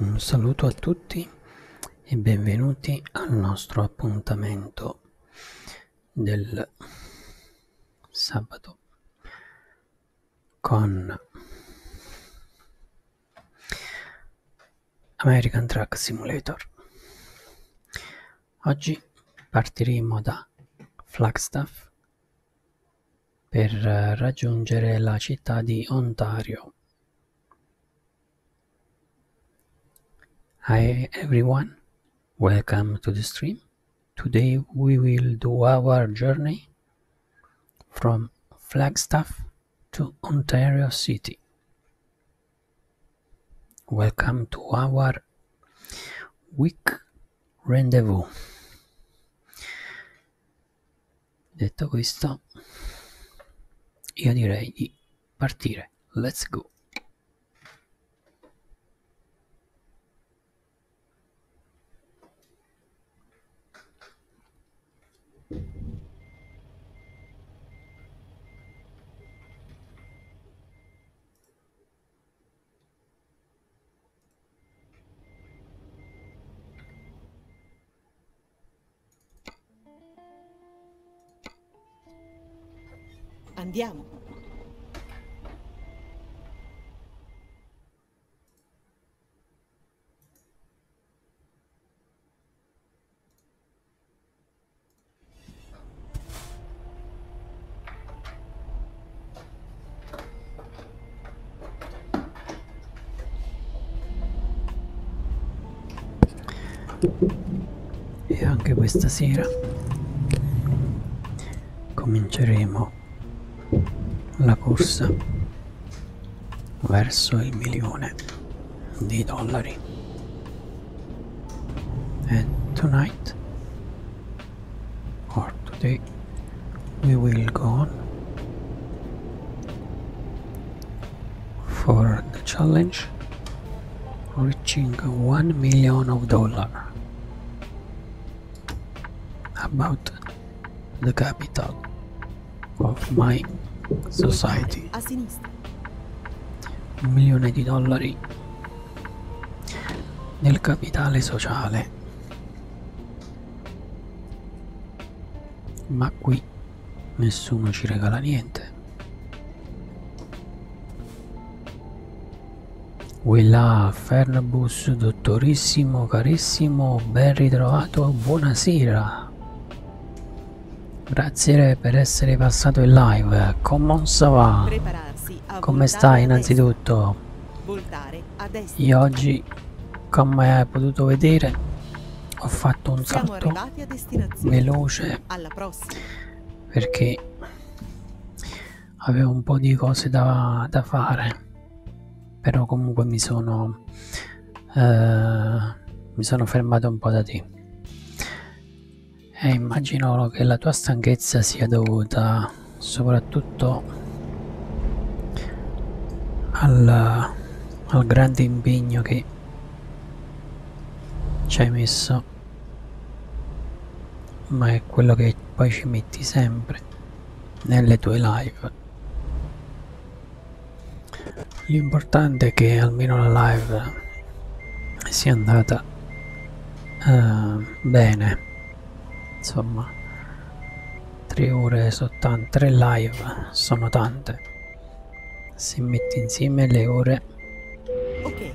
Un saluto a tutti e benvenuti al nostro appuntamento del sabato con American Truck Simulator. Oggi partiremo da Flagstaff per raggiungere la città di Ontario. Hi everyone, welcome to the stream. Today we will do our journey from Flagstaff to Ontario City. Welcome to our week rendezvous detto questo io direi di partire let's go Andiamo. E anche questa sera cominceremo la corsa verso il milione di dollari. And tonight or today we will go on for the challenge reaching 1 million of dollar about the capital of my society milione dollars. nel capitale sociale. Ma qui nessuno ci regala niente. Quella Fernbus, dottorissimo, carissimo, ben ritrovato, buonasera. Grazie per essere passato in live. Come stai innanzitutto? Voltare a destra. Io oggi, come hai potuto vedere, ho fatto un Siamo salto veloce perché avevo un po' di cose da, da fare, però comunque mi sono, eh, mi sono fermato un po' da te. E immagino che la tua stanchezza sia dovuta soprattutto al, al grande impegno che ci hai messo ma è quello che poi ci metti sempre nelle tue live l'importante è che almeno la live sia andata uh, bene insomma 3 ore sono tante 3 live sono tante se metti insieme le ore okay,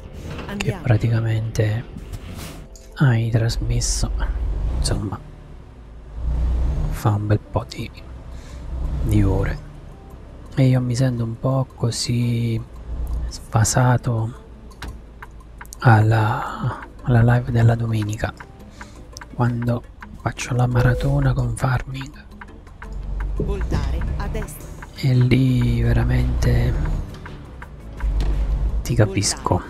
che praticamente hai trasmesso insomma fa un bel po' di, di ore e io mi sento un po' così sfasato alla, alla live della domenica quando faccio la maratona con farming Voltare a destra. e lì veramente ti capisco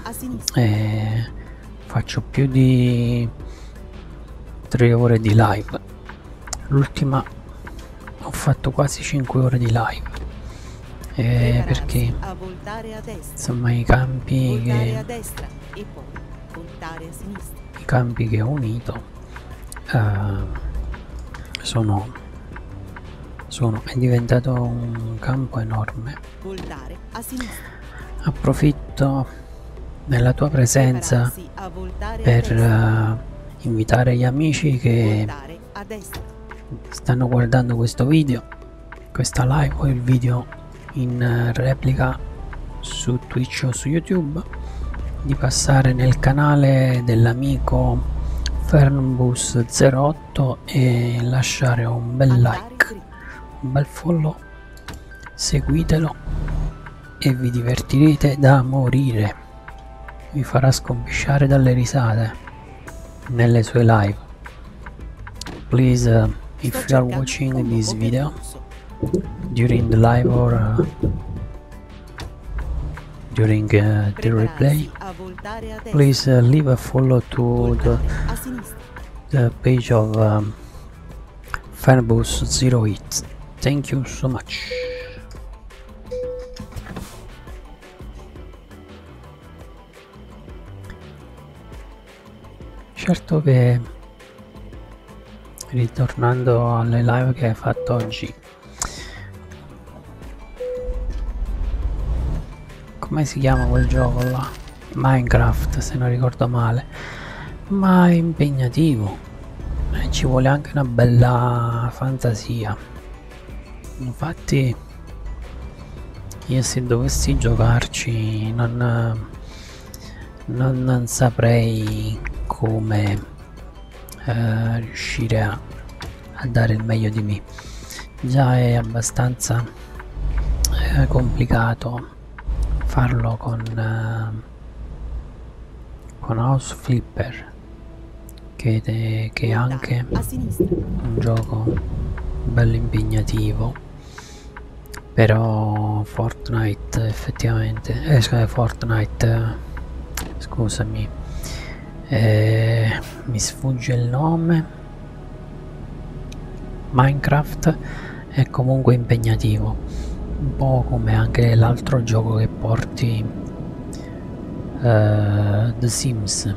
e eh, faccio più di 3 ore di live l'ultima ho fatto quasi 5 ore di live eh, perché insomma i campi che destra, i campi che ho unito eh, sono, sono è diventato un campo enorme approfitto della tua presenza per eh, invitare gli amici che a destra. Stanno guardando questo video, questa live o il video in eh, replica su Twitch o su YouTube, di passare nel canale dell'amico Fernbus08 e lasciare un bel like, un bel follow, seguitelo e vi divertirete da morire vi farà scombisciare dalle risate. Nellis Live. Please, uh, if you are watching this video during the live or uh, during uh, the replay, please leave a follow to the, page of um, Fanbus Thank you so much. certo che ritornando alle live che hai fatto oggi come si chiama quel gioco là minecraft se non ricordo male ma è impegnativo e eh, ci vuole anche una bella fantasia infatti io se dovessi giocarci non, non, non saprei come eh, riuscire a, a, dare il meglio di me già è abbastanza eh, complicato farlo con eh, con house flipper che, te, che esatto. anche sinistra. Un gioco bello impegnativo. Però Fortnite effettivamente. Eh, scusami, Fortnite. Scusami. Eh, mi sfugge il nome. Minecraft è comunque impegnativo. Un po' come anche l'altro gioco che porti. Uh, The Sims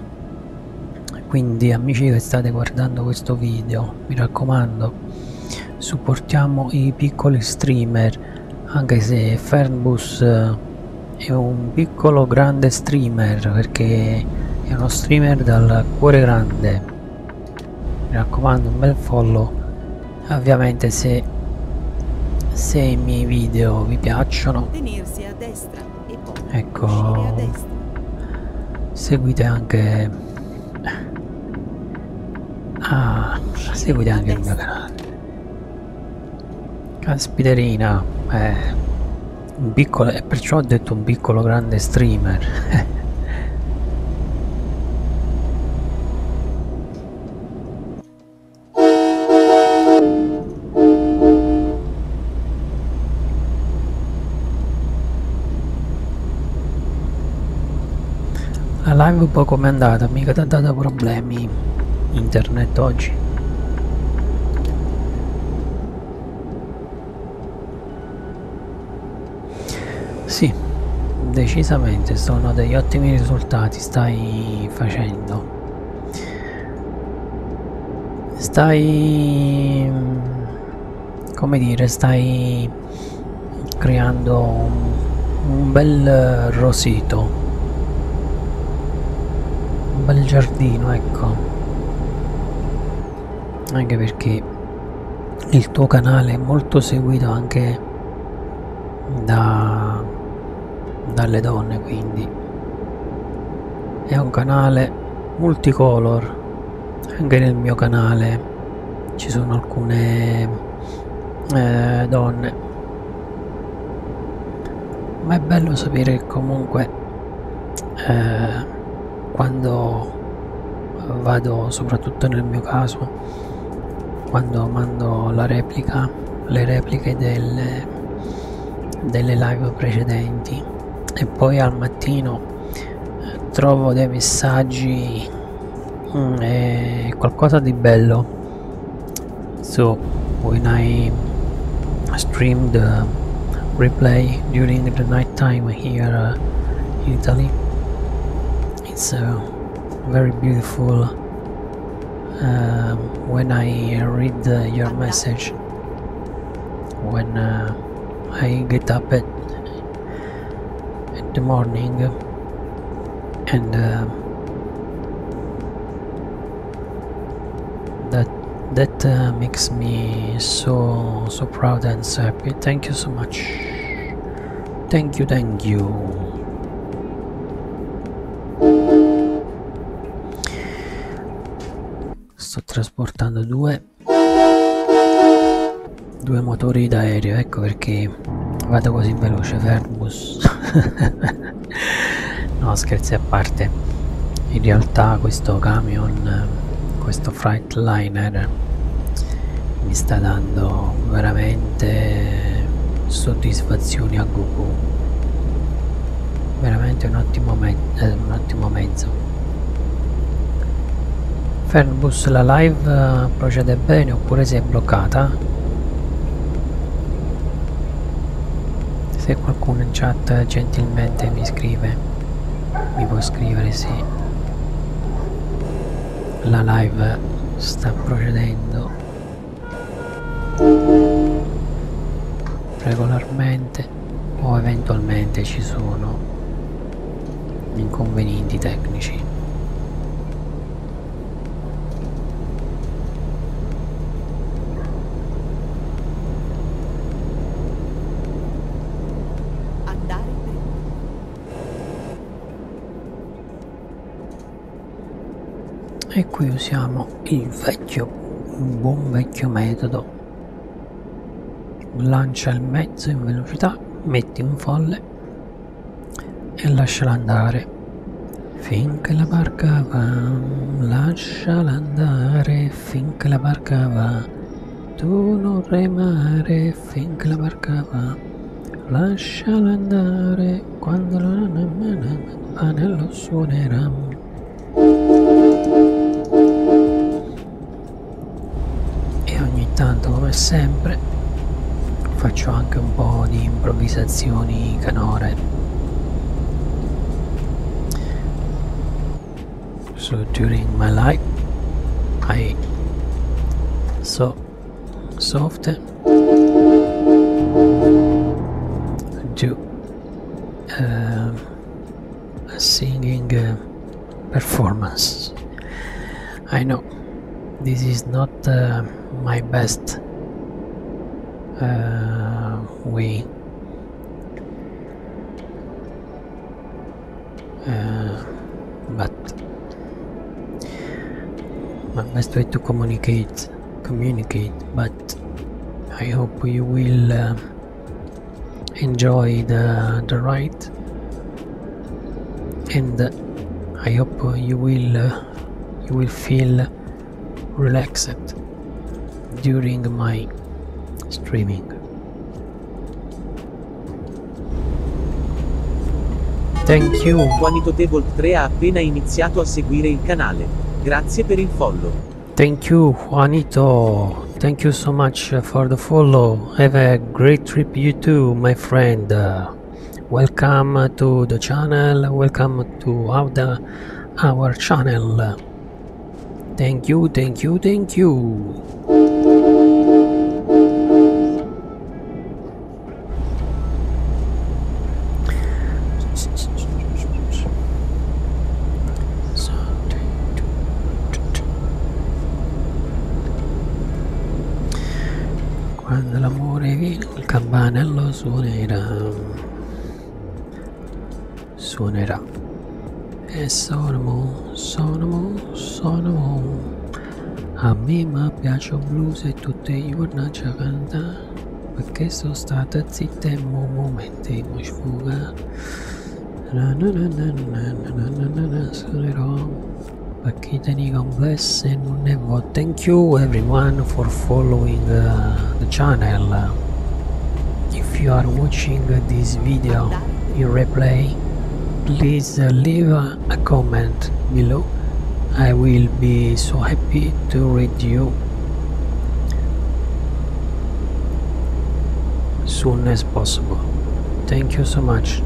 quindi amici che state guardando questo video mi raccomando supportiamo i piccoli streamer anche se Fernbus eh, è un piccolo grande streamer perché è uno streamer dal cuore grande mi raccomando un bel follow ovviamente se se i miei video vi piacciono destra e poi ecco, a destra. Seguite anche Ah, seguite anche il mio canale. Caspiterina, eh, un piccolo, e perciò ho detto un piccolo grande streamer. La live poi com'è andata? Mica ti ha dato problemi internet oggi? Sì, decisamente sono degli ottimi risultati stai facendo stai come dire stai creando un bel rosito un bel giardino ecco anche perché il tuo canale è molto seguito anche da, dalle donne quindi è un canale multicolor anche nel mio canale ci sono alcune eh, donne ma è bello sapere che comunque eh, quando vado soprattutto nel mio caso quando mando la replica le repliche delle, delle live precedenti e poi al mattino eh, trovo dei messaggi mm, eh, qualcosa di bello so when I stream the eh, replay during the night time here uh, in Italy it's uh, very beautiful uh, when I read your message when uh, I get up at in the morning and uh, that that uh, makes me so so proud and so happy thank you so much thank you thank you sto trasportando due due motori d'aereo ecco perché vado così veloce Verbus no scherzi a parte in realtà questo camion questo freightliner mi sta dando veramente soddisfazioni a Goku veramente un ottimo, me eh, un ottimo mezzo Ferbus la live eh, procede bene oppure si è bloccata se qualcuno in chat gentilmente mi scrive mi può scrivere se sì. la live sta procedendo regolarmente parte o eventualmente ci sono inconvenienti tecnici e qui usiamo il vecchio un buon vecchio metodo lancia il mezzo in velocità, metti un folle e lasciala andare. Finché la barca va, lasciala andare, finché la barca va, tu non remare, finché la barca va, lasciala andare, quando la nanna va nello suonerà e ogni tanto come sempre faccio anche un po' di improvvisazioni canore so during my life I so soft do um, uh, singing uh, performance. I know this is not uh, my best uh, way but my best way to communicate communicate but I hope you will enjoy the, the ride and I hope you will uh, you will feel relaxed during my streaming Thank you Quanito Devolt 3 ha appena iniziato a seguire il canale grazie per il follow Thank you, Juanito. Thank you so much uh, for the follow. Have a great trip, you too, my friend. Uh, welcome to the channel. Welcome to our, our channel. Thank you, thank you, thank you. So quando l'amore viene il campanello suonerà suonerà e sono sono sono a me mi piace un blues e tutte i giorni ci canta perché sono stata zitta in un momento di sfuga Pakitani, God bless and never. Thank you everyone for following uh, the channel. If you are watching this video in replay, please uh, leave a comment below. I will be so happy to read you soon as possible. Thank you so much.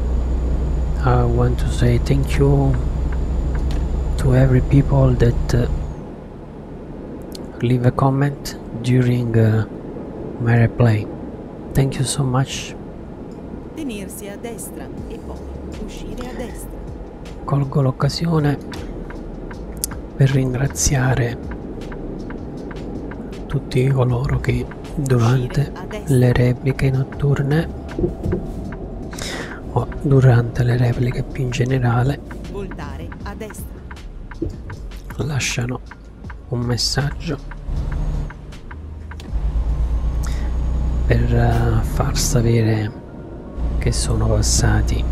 I want to say thank you to every people that uh, leave a comment during uh, my replay. Thank you so much. Colgo l'occasione per ringraziare tutti coloro che durante le repliche notturne o durante le repliche più in generale lasciano un messaggio per eh, far sapere che sono passati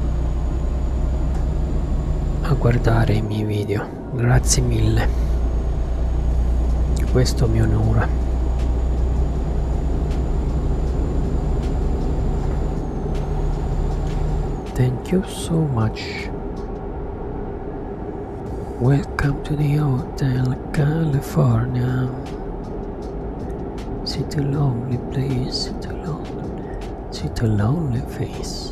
a guardare i miei video grazie mille questo mi onora thank you so much welcome to the hotel california Sit a lonely place such a lonely such a lonely face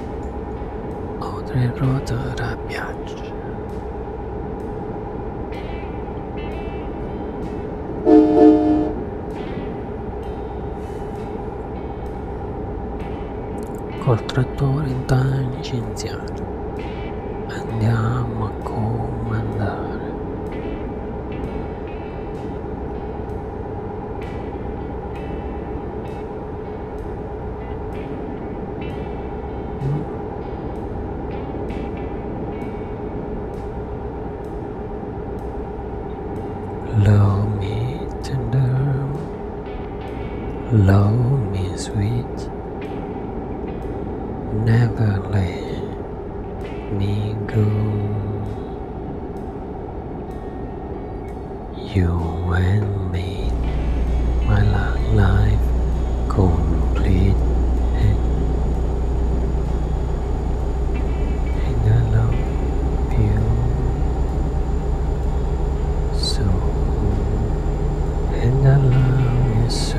ho tre rotor a piaccia col trattore da licenziato andiamo a comandare Love me tender, love me sweet, never let me go. You and me, my life complete and I love you so and I love you so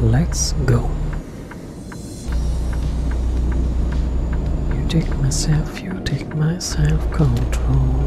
Let's go. You take myself, you take my self control.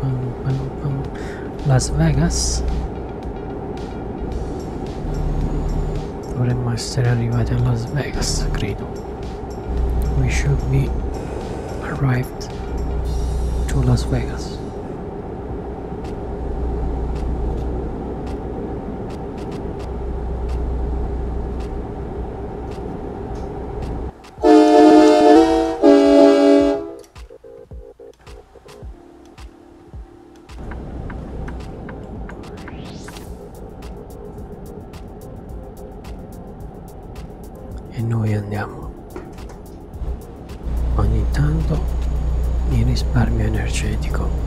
Um, um, um, Las Vegas dovremmo essere arrivati a Las Vegas credo we should be arrived to Las Vegas E noi andiamo. Ogni tanto mi risparmio energetico.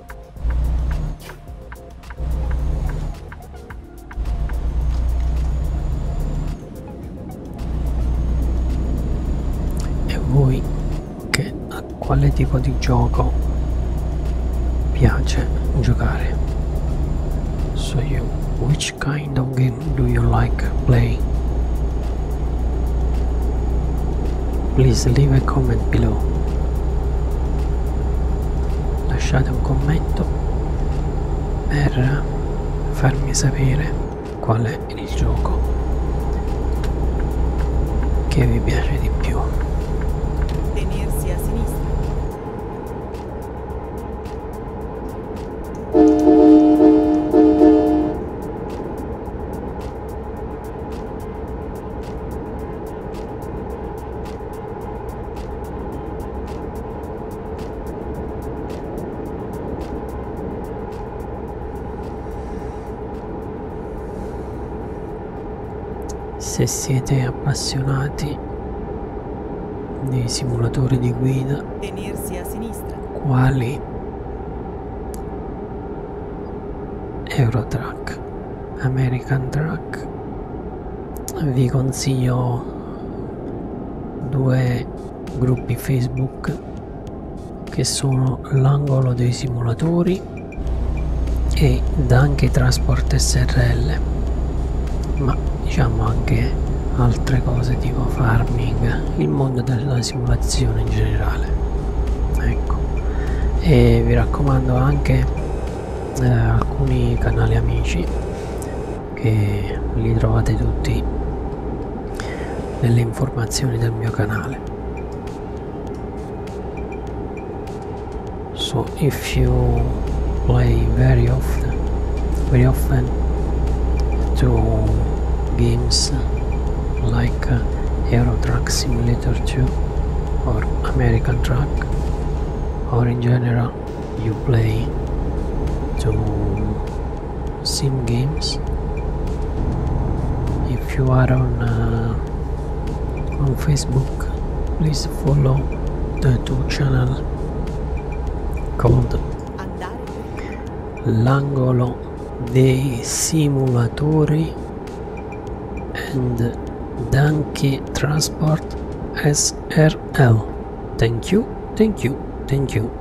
E voi che a quale tipo di gioco piace giocare? So you, which kind of game do you like playing? Please leave a comment below lasciate un commento per farmi sapere qual è il gioco che vi piace di più tenersi a sinistra se siete appassionati dei simulatori di guida, quali Eurotrack, American Truck, Rack vi consiglio due gruppi Facebook che sono l'angolo dei simulatori e Danke Transport SRL ma diciamo anche altre cose tipo farming il mondo della simulazione in generale ecco e vi raccomando anche eh, alcuni canali amici che li trovate tutti nelle informazioni del mio canale so if you play very often very often to games like uh, Euro Truck Simulator 2 or American Truck or in general you play two sim games if you are on uh, on Facebook please follow the two channel called l'angolo dei simulatori and Donkey Transport SRL. Thank you, thank you, thank you.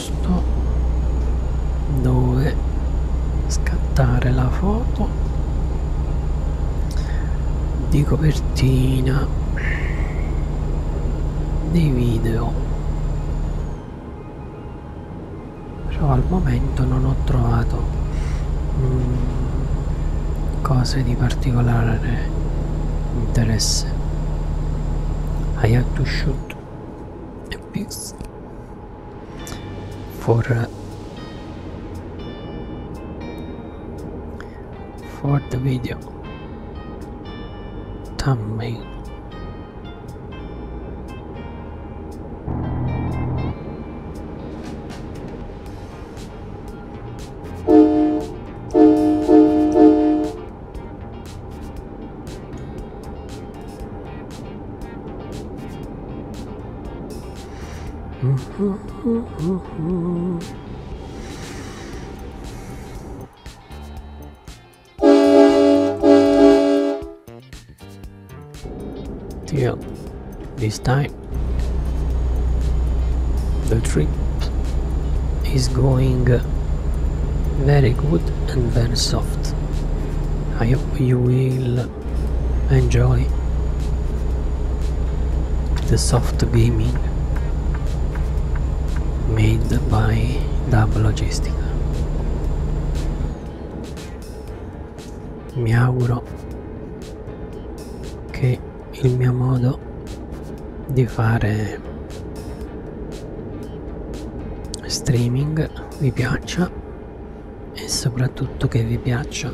posto dove scattare la foto di copertina dei video però al momento non ho trovato mm, cose di particolare interesse I have to shoot a is for for the video me. Deal. This time, the trip is going very good and very soft. I hope you will enjoy the soft gaming made by Dub Logistica. Mi auguro che il mio modo di fare streaming vi piaccia e soprattutto che vi piaccia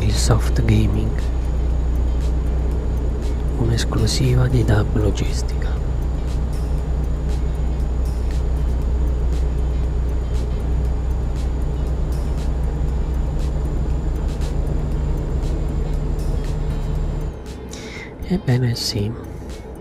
il soft gaming un'esclusiva di Dub Logistica ebbene sì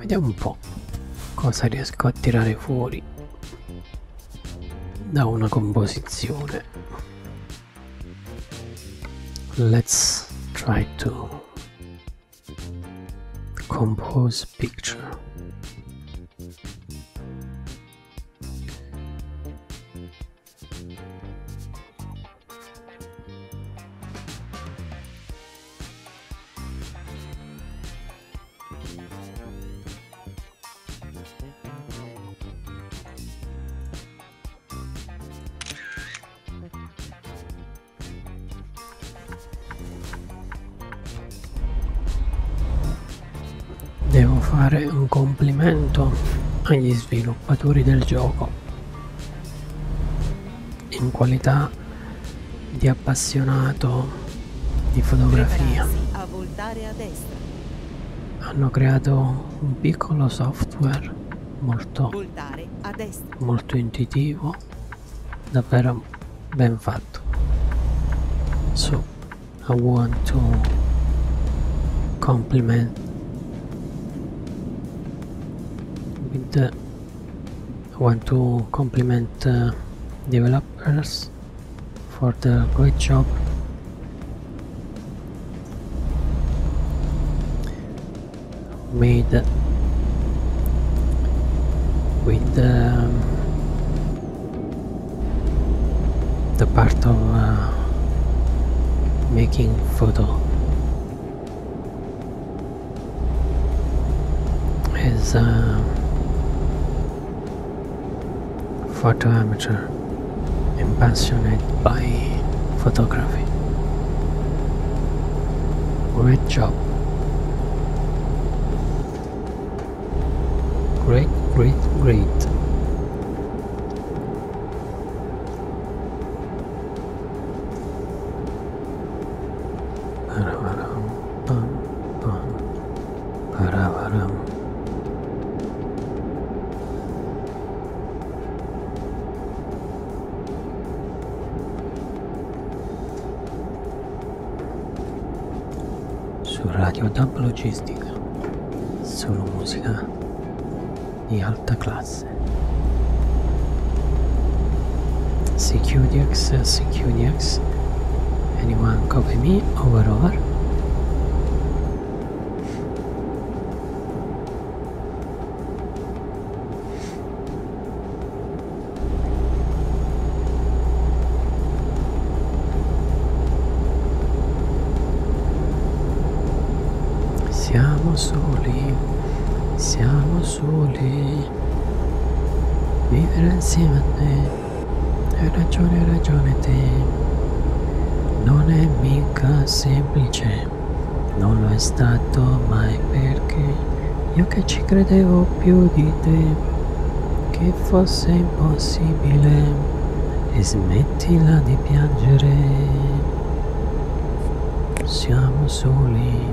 Vediamo un po' cosa riesco a tirare fuori da una composizione. Let's try to compose picture. Devo fare un complimento agli sviluppatori del gioco in qualità di appassionato di fotografia hanno creato un piccolo software molto, molto intuitivo davvero ben fatto so I want to compliment with the I want to compliment uh, developers for the great job made with um, the part of uh, making photo is a uh, photo amateur and passionate by photography. Great job. Great, great, great. su Radio Dub Logistica, solo musica di alta classe. CQDX, uh, Anyone copy me? Over, over. Siamo soli, siamo soli. me vivere insieme a te hai ragione hai ragione te non è mica semplice non lo è stato mai perché io che ci credevo più di te che fosse impossibile e smettila di piangere siamo soli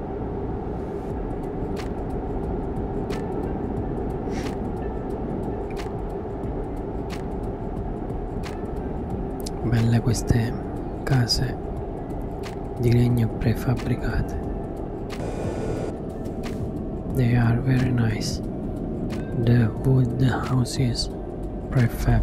Belle queste case di legno prefabbricate. They are very nice. The wood houses prefab.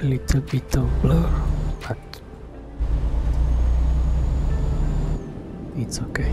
A little bit of blur, but it's okay.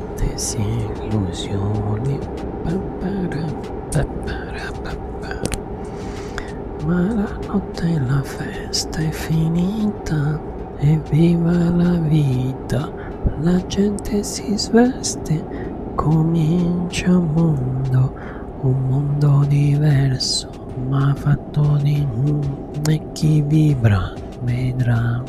disillusioni ma la notte e la festa è finita evviva la vita la gente si sveste comincia un mondo un mondo diverso ma fatto di e chi vibra vedrà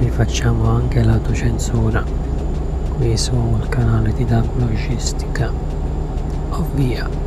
qui facciamo anche l'autocensura qui sul canale di DAP Logistica ovvia oh,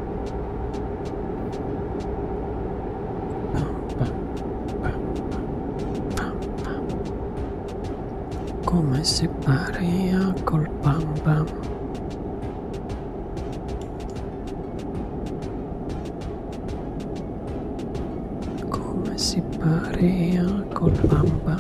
Come si pare a col bamba? Come si pare a col bamba?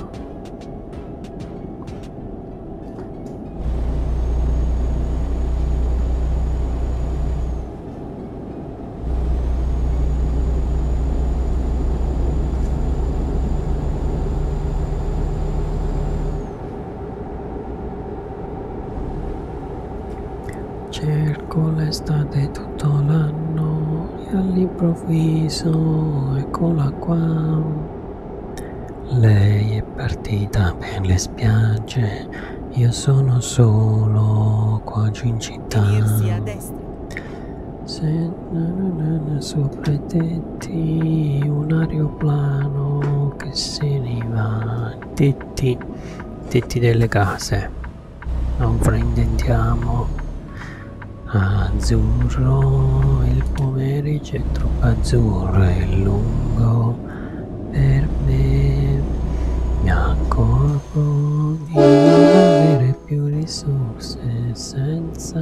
Cerco l'estate tutto l'anno e all'improvviso eccola qua. Lei è partita per le spiagge, io sono solo qua giù in città. Se sopra i tetti un aeroplano che se ne va. Tetti, tetti delle case. Non fraintendiamo. Azzurro, il pomeriggio è troppo azzurro, è lungo per me mi accorgo di non avere più risorse senza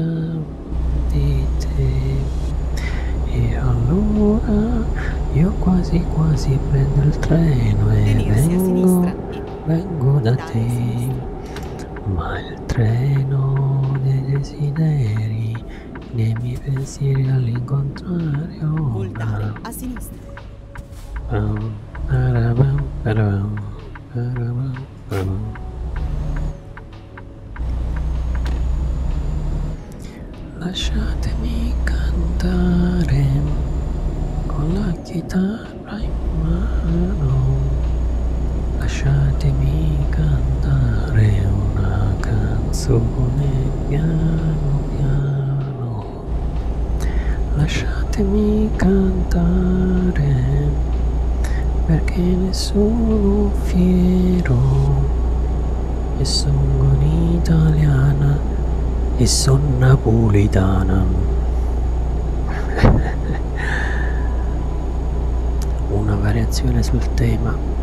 di te e allora io quasi quasi prendo il treno e vengo, vengo da te ma il treno dei desideri nei miei pensieri all'incontrario. Oh, Voltare a sinistra. Lasciatemi cantare con la chitarra in mano. Lasciatemi cantare una canzone piano piano lasciatemi cantare perché ne sono fiero e sono un'italiana e sono napolitana una variazione sul tema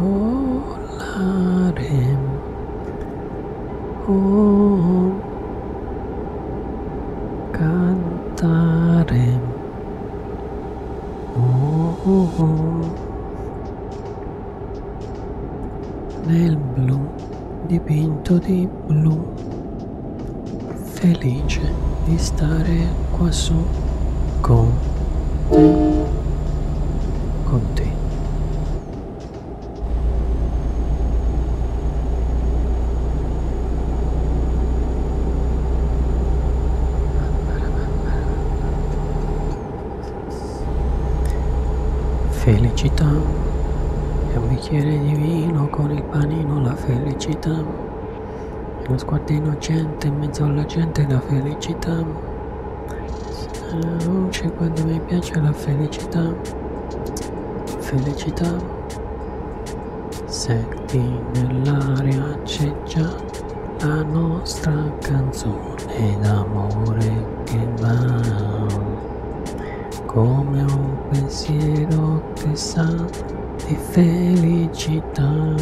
volare oh, cantare oh, nel blu dipinto di blu felice di stare qua su con te con te felicità e bicchiere di vino, con il panino la felicità. Uno sguardo innocente in mezzo alla gente la felicità. La luce quando mi piace la felicità. Felicità. Senti nell'aria c'è già la nostra canzone d'amore che va come un pensiero che sa di felicità.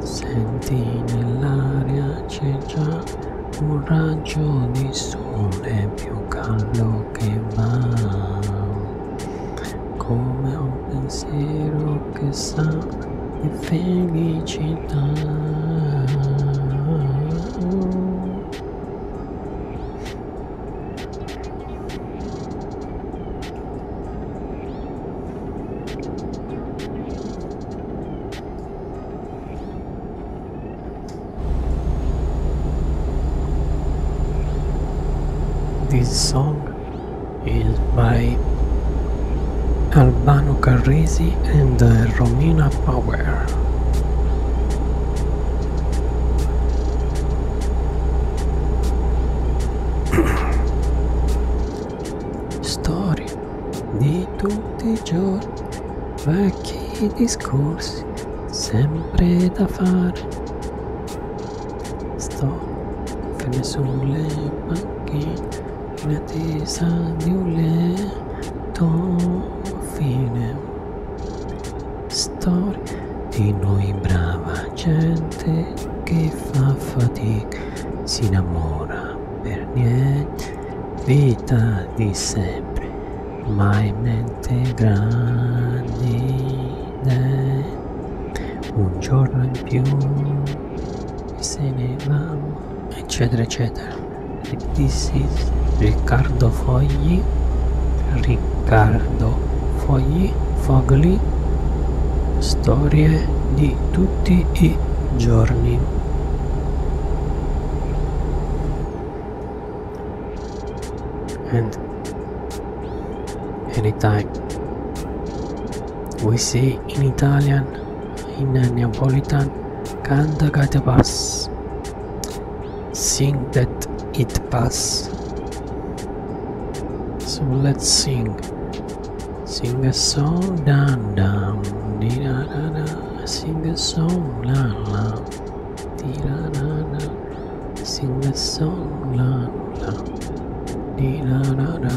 Senti nell'aria c'è già un raggio di sole più caldo che va, come un pensiero che sa Efengi Chita. This song is by Albano Carresi and uh, Romina Power. Storie di tutti i giorni, vecchi discorsi, sempre da fare. Sto fermo sulle panchine in attesa di un letto fine. Storia di noi brava gente che fa fatica, si innamora per niente, vita di sempre, mai mente grandi. Un giorno in più se ne va eccetera eccetera this is Riccardo Fogli Riccardo Fogli Fogli storie di tutti i giorni and anytime we say in Italian in Neapolitan cantagate bass. Sing that it pass. So let's sing. Sing a song, da da, di da da da. Sing a song, la la, di da da da. Sing a song, la la, di da da da.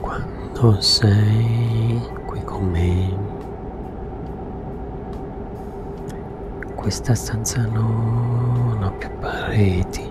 Quando sei qui con me, questa stanza non ha più pareti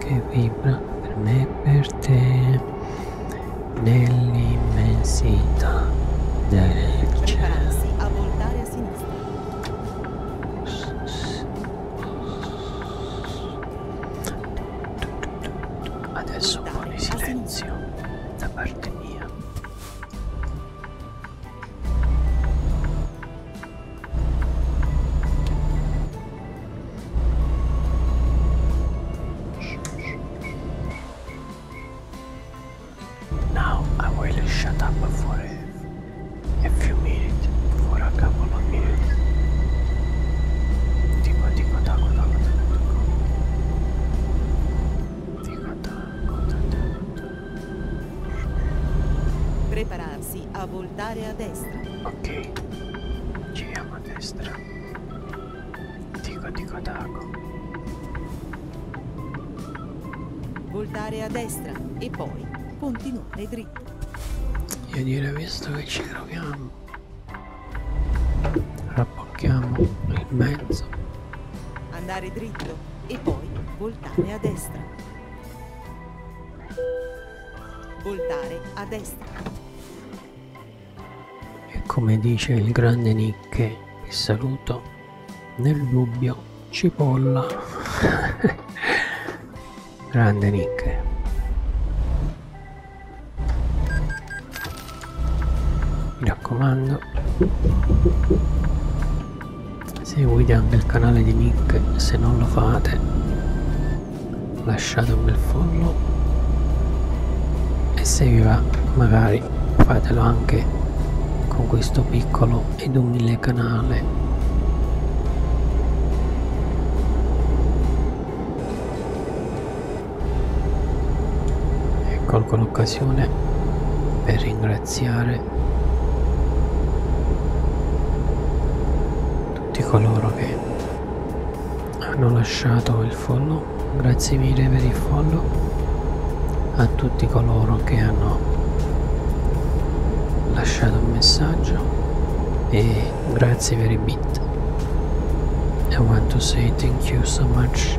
che vibra per me e per te nell'immensità del cielo. a voltare a sinistra. Adesso un po' di silenzio da parte mia. Now I will shut up for if you meet minutes, for a couple of minutes. Tico, tico, taco, taco, tico, Prepararsi a voltare a destra. Ok, giriamo a destra. Dico, dico, dago. Voltare a destra e poi continuare dritto. Io direi visto che ci troviamo, rappocchiamo il mezzo. Andare dritto e poi voltare a destra. Voltare a destra. E come dice il grande Nicche, che saluto, nel dubbio cipolla. grande Nicche mi raccomando seguite anche il canale di Nick se non lo fate lasciate un bel follow e se vi va magari fatelo anche con questo piccolo ed umile canale Col ecco l'occasione per ringraziare tutti coloro che hanno lasciato il follow grazie mille per il follow a tutti coloro che hanno lasciato un messaggio e grazie per i bit I want to say thank you so much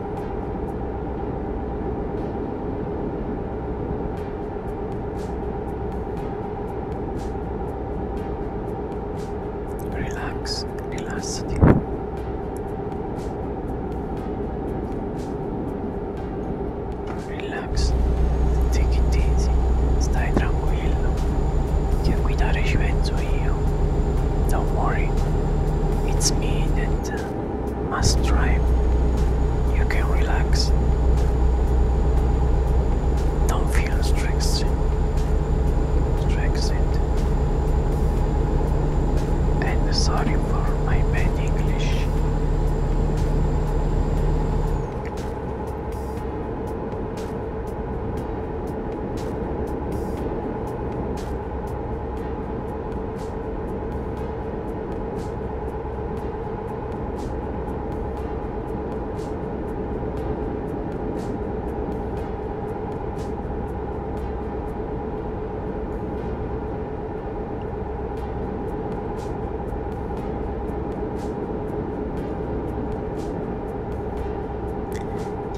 Relax, relax. Relax, take it easy, stai tranquillo, che guidare ci penso Don't worry, it's me that must try. You can relax. Don't feel stressed. Stressed. And sorry for my bad English.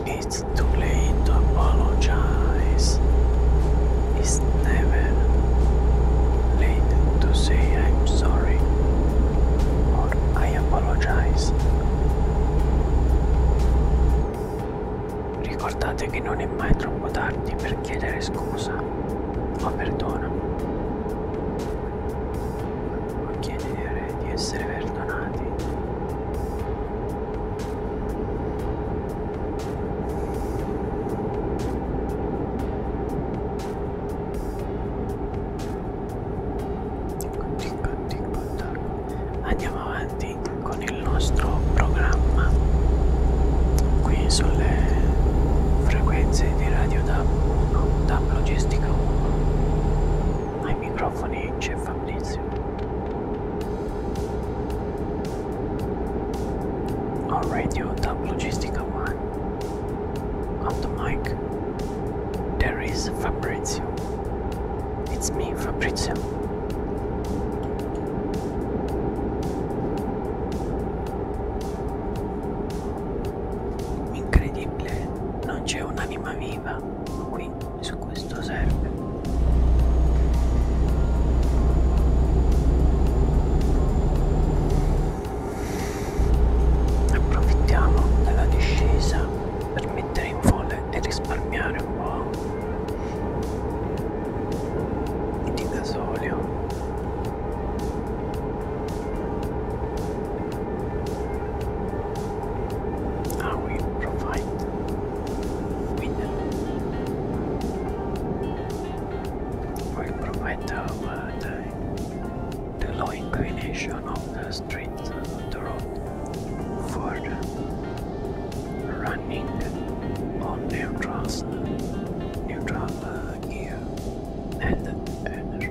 It's too late to apologize. It's never late to say I'm sorry or I apologize. Ricordate che non è mai troppo tardi per chiedere scusa o perdono o chiedere di essere perdonati. Andiamo avanti con il nostro programma qui sulle frequenze di Radio DAB 1, DAB Logistica 1. Ai microfoni c'è Fabrizio. All right, you top logistica one. On the mic, there is Fabrizio. It's me, Fabrizio. Incredibile, non c'è un'anima viva qui su questo server. Approfittiamo della discesa per mettere in folle e risparmiare un po' di gasolio. Ah, I will provide winner. Will provider over time. The uh, low inclination of the street the road for running on neutrals, neutral uh, gear and energy.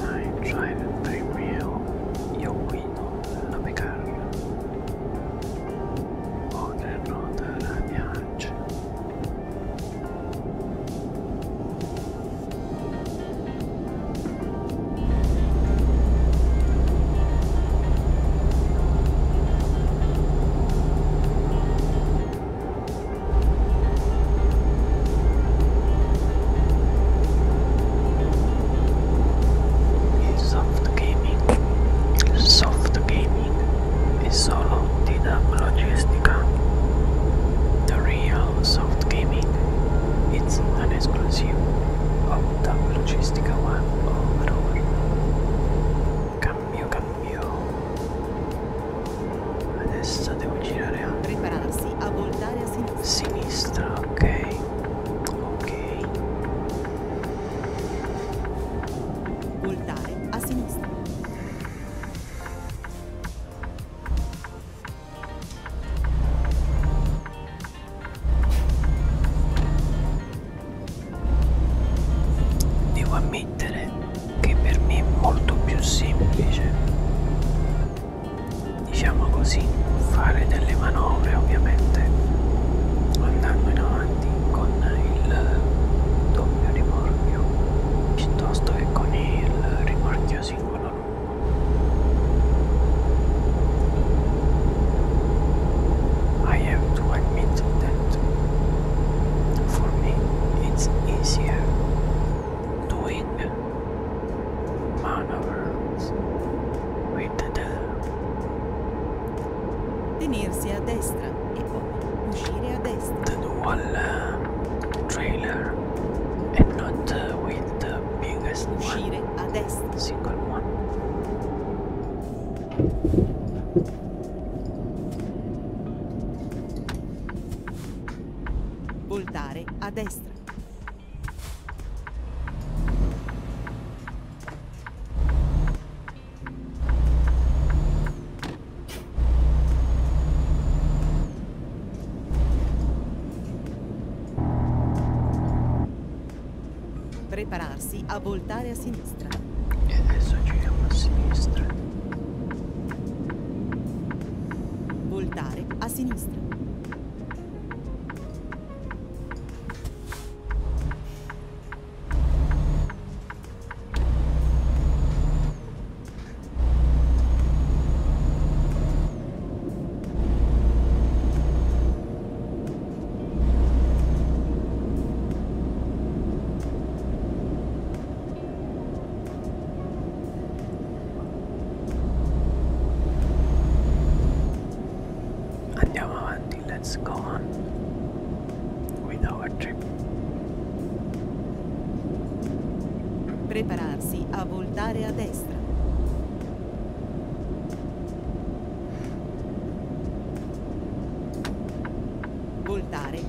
I drive very well. Io guido la mia oh, carra. Ho le ruote alla mia ancia. Io Soft gaming. Soft gaming è solo una logistica. The real soft gaming is an exclusive of the logistical one over. Can you can cambio adesso devo girare a prepararsi a voltare a sinistra, sinistra ok ok voltare a sinistra Devo ammettere che per me è molto più semplice diciamo così fare delle manovre ovviamente andando in avanti con il doppio rimorchio piuttosto che con il rimorchio singolo I have to admit that For me, it's easier doing maneuvers with the tenersi a destra e poi uscire a destra. The dual uh, trailer and not uh, with the biggest uscire a destra. Single one. Voltare a destra. Prepararsi a voltare a sinistra e adesso giriamo a sinistra voltare a sinistra Andiamo avanti, let's go on with our trip. Prepararsi a voltare a destra. Voltare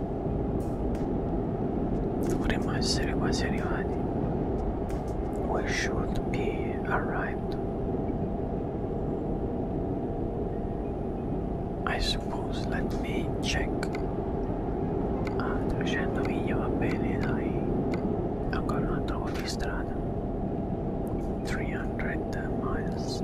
Primo Seriani. We should be arrived. I suppose let me check ah, tracendomi gli ancora trovo di strada 300 miles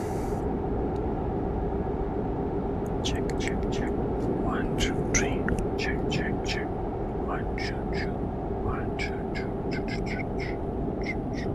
Check, check, check. One, two, three. Check, check, check. One, two, two. One, two, two, two, two, two, two, two.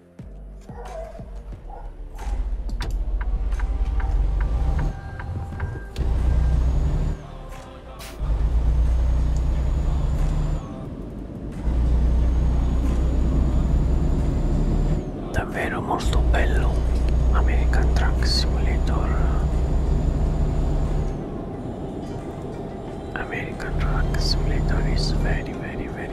Davvero molto bello American Truck Simulator American Truck Simulator is very very very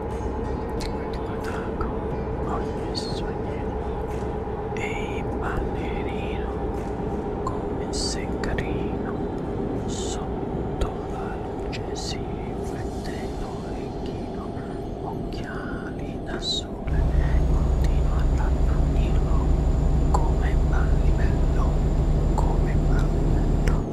L'ultimo attacco, ogni sogno e ballerino come se carino sotto la luce si riflette l'orecchino, occhiali da sole continua ad appunirlo come ballivello, come ballivello.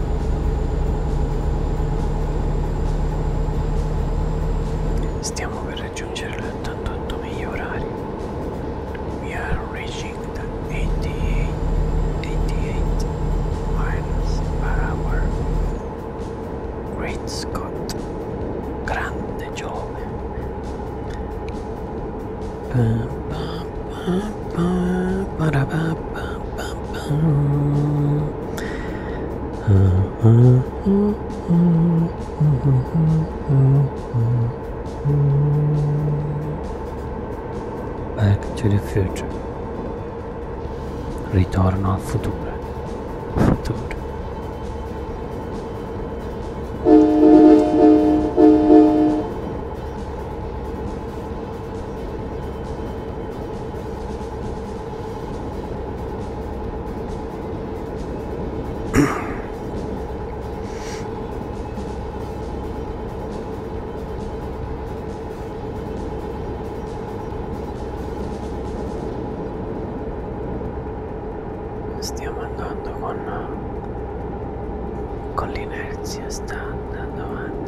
Stiamo per raggiungere l'88 miglia orari. We are reaching the 88, 88 miles per hour. Great Scott, grande Giove. Uh, uh, uh. Back to the future. Ritorno al futuro. Futuro. Stiamo andando con, con l'inerzia, sta andando avanti.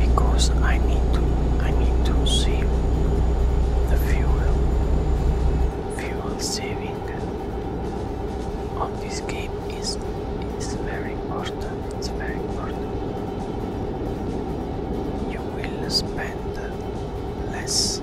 because I need to I need to save the fuel fuel saving on this game is is very important very important you will spend less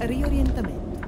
Riorientamento.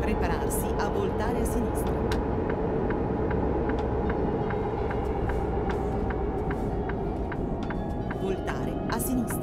Prepararsi a voltare a sinistra. Voltare a sinistra.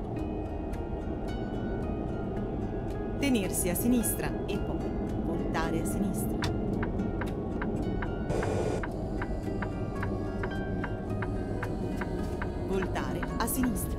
Tenersi a sinistra e poi voltare a sinistra. Voltare a sinistra.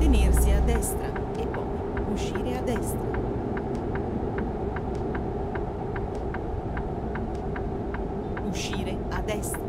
Tenersi a destra e poi uscire a destra. Uscire a destra.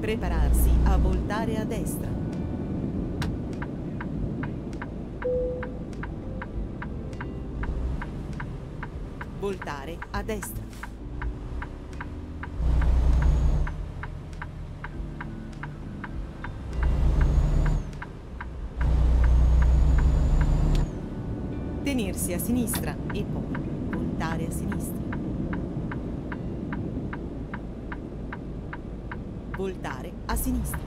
Prepararsi a voltare a destra. Voltare a destra. Tenersi a sinistra e poi voltare a sinistra. Voltare a sinistra.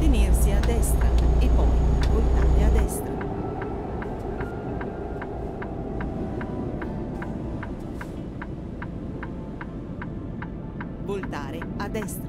Tenersi a destra e poi voltare a destra. Voltare a destra.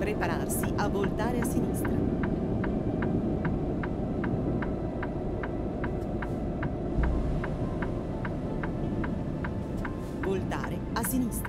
Prepararsi a voltare a sinistra. Voltare a sinistra.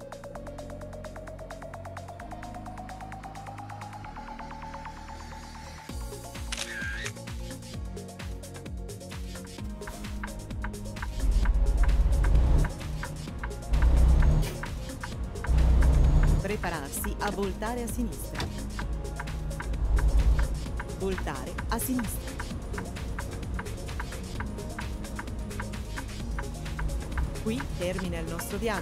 Prepararsi a voltare a sinistra. Voltare a sinistra. Qui termina il nostro viaggio.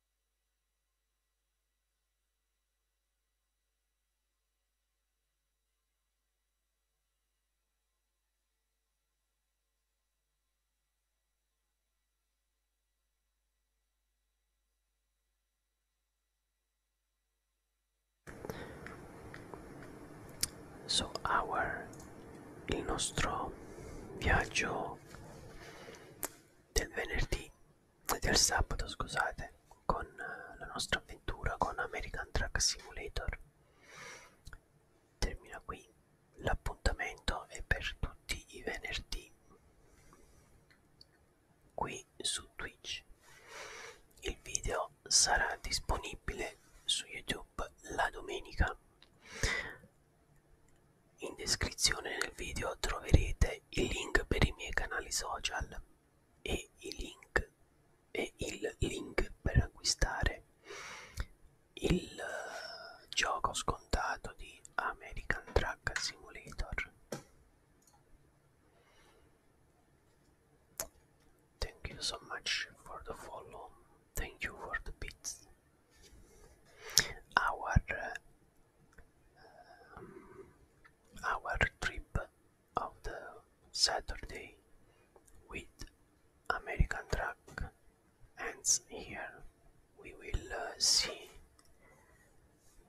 So our il nostro viaggio del venerdì del sabato scusate con eh, la nostra avventura con American Truck Simulator termina qui l'appuntamento è per tutti i venerdì qui su Twitch il video sarà disponibile su YouTube la domenica in descrizione del video troverete il link per i miei canali social e i link e il link per acquistare il eh, gioco scontato di American Truck Simulator. Thank you so much for the follow. Thank you for the bits. Our Um, our trip of the Saturday with American truck ends here. We will uh, see.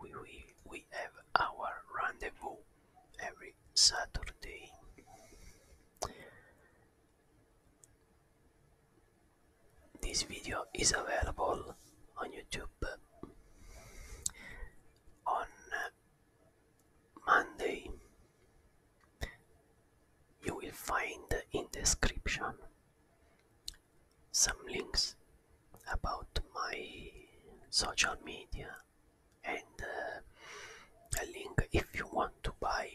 We, we, we have our rendezvous every Saturday. This video is available on YouTube on Monday. You will find in description some links about my social media and uh, a link if you want to buy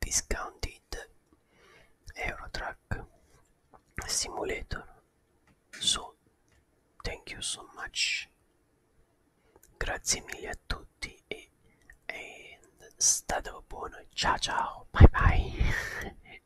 discounted Euro Truck simulator so, thank you so much. Grazie mille a tutti and state buono. Ciao ciao. Bye bye.